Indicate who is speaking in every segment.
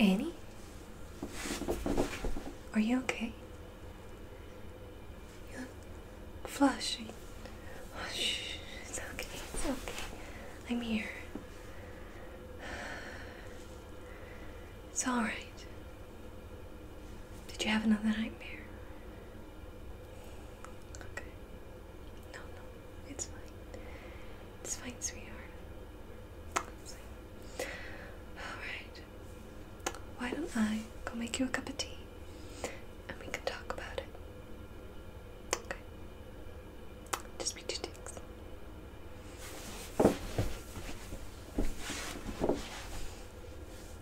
Speaker 1: Annie? Are you okay? You look flushy. Oh, shh. It's okay. It's okay. I'm here. It's alright. Did you have another nightmare? Okay. No, no, it's fine. It's fine, sweetheart. It's fine. Alright. Why don't I go make you a cup of tea and we can talk about it? Okay. Just be two ticks.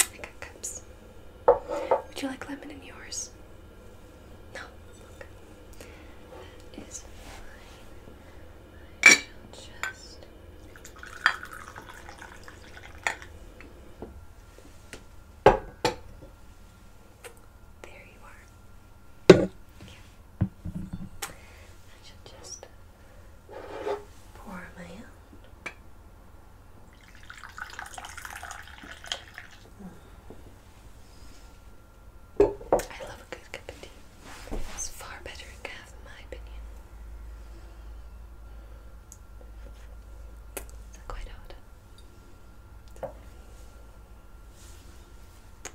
Speaker 1: I got cups. Would you like lemon in yours? No, That is fine. I will just. There you are. I just pour my own I love a good cup of tea. It's far better than calf, in my opinion. It's quite odd.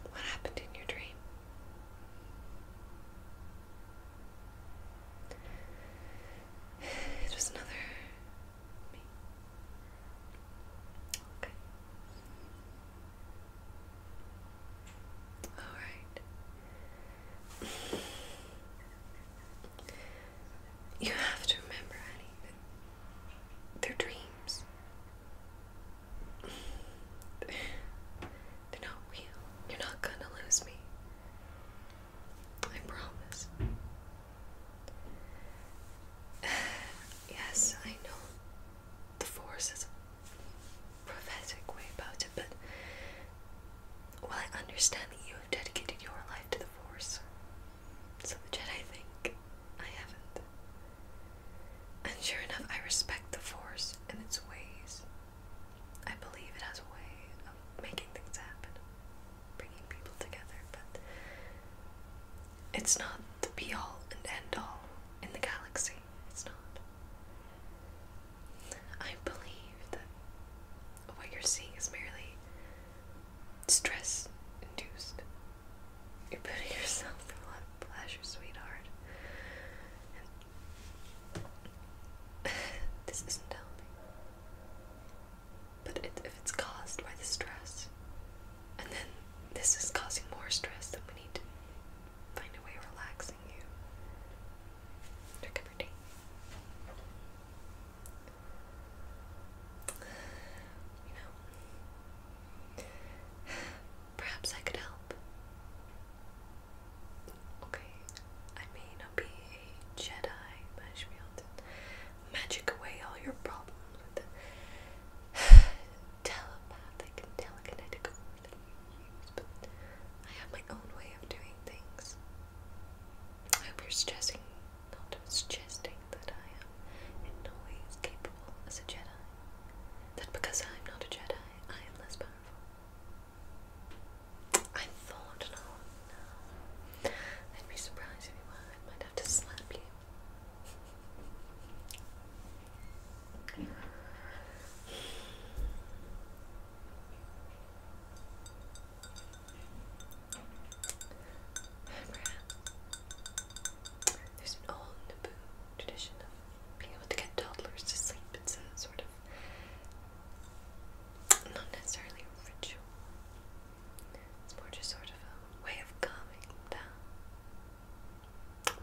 Speaker 1: What happened in your dream? It was another Alright. You have to remember, honey, that they're dreams. They're not real. You're not gonna lose me. I promise. yes, I know the force is a prophetic way about it, but well, I understand that you have dedicated your life to the force. So the Jedi think I haven't. And sure enough, I respect the force and its ways. I believe it has a way of making things happen bringing people together, but it's not the be all and end all in the galaxy. It's not. I believe that what you're seeing is merely
Speaker 2: stress induced. You're putting yourself through a lot of pleasure,
Speaker 1: sweetheart. this isn't helping. But if it's caused by the stress, and then this is causing more stress, than we need to find a way of relaxing you. Drink every day. You know, perhaps I could help. Okay, I may not be a Jedi, but I should magic away all your problems with the telepathic and telekinetic word that you use, but I have my own way of doing things. I hope you're suggesting not suggesting that I am in no way as capable as a Jedi. That because I'm not a Jedi, I am less powerful. I thought, no, I'd be surprised if you were. I might have to slap you. There's an old Naboo tradition of being able to get toddlers to sleep. It's a sort of not necessarily a ritual. It's more just sort of a way of calming down.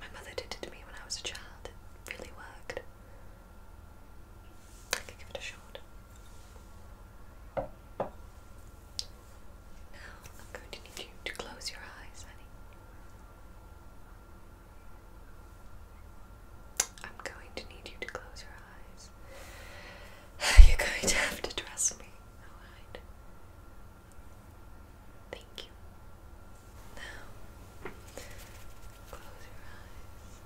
Speaker 1: My mother did it to me when I was a child. It really worked. I could give it a shot. Now I'm going to need you to close your eyes, honey. I'm going to need you to close your eyes. You're going to have to trust me. Alright. Thank you. Now, close your eyes.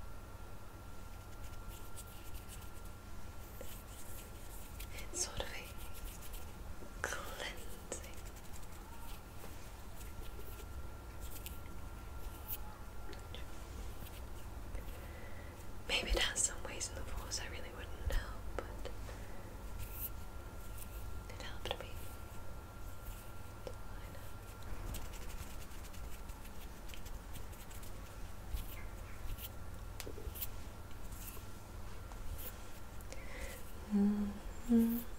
Speaker 1: It's sort of a cleansing Maybe it has some ways in the force I really wouldn't know, but it helped me.
Speaker 2: -hmm.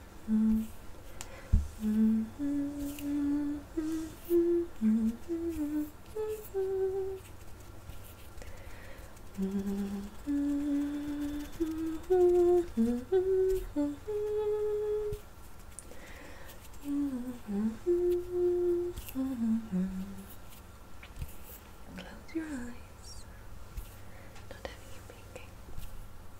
Speaker 2: Close your eyes. Not having you peeking.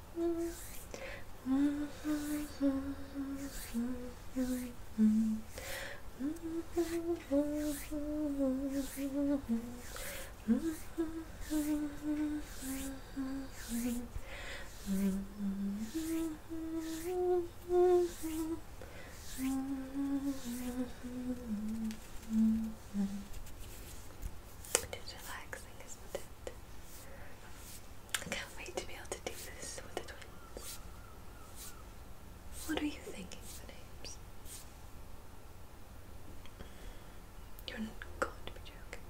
Speaker 2: It is relaxing, isn't it?
Speaker 1: I can't wait to be able to do this with the twins. What are you thinking for names? You're going to be joking.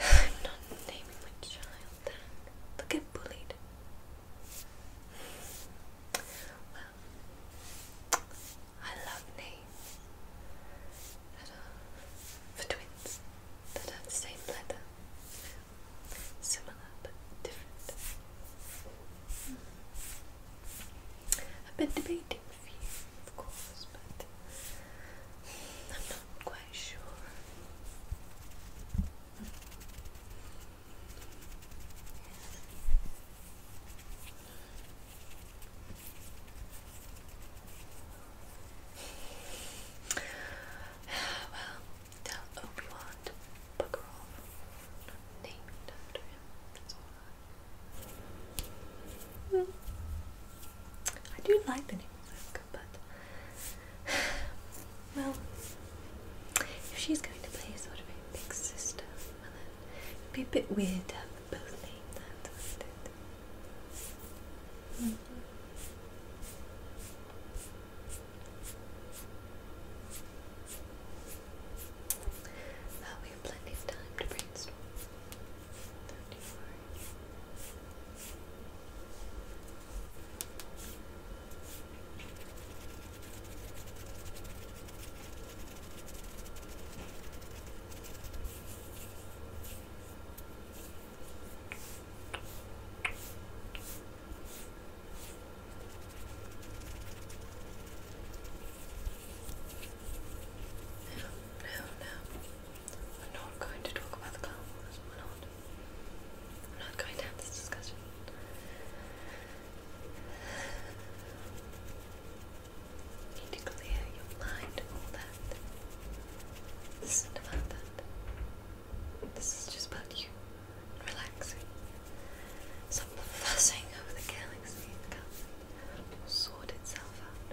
Speaker 1: I'm not naming my child that. they bullied. Well, I love names for twins that have the same letter. Similar but different. Hmm. I've been debating with you, of course, but I'm not quite sure.
Speaker 2: well, Obi-Wan to
Speaker 1: I do like the name Luke, but well, if she's going to play a sort of big sister, it'd be a bit weird we both named that, mm -hmm. we have plenty of time to brainstorm. Don't you worry. No, no, we're not going to talk about the Clone Wars. we not. We're not going to have this discussion. Need to clear your mind all that. This is that. This is just about you. Relaxing. Stop fussing over the galaxy and comes will sort itself out.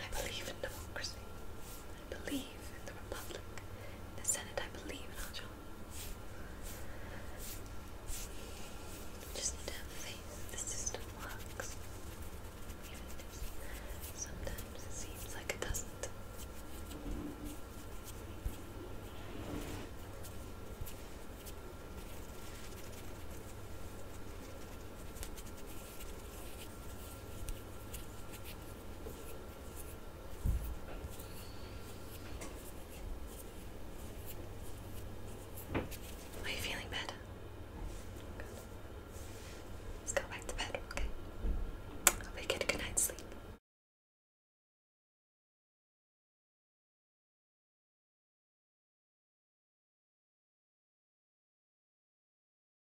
Speaker 1: I believe in democracy. I believe in the Republic. In the Senate, I believe in our job. Just need to have faith the system works. sometimes it seems like it doesn't. Are you feeling better? Let's go back to bed, okay? Hope you get a good night's sleep.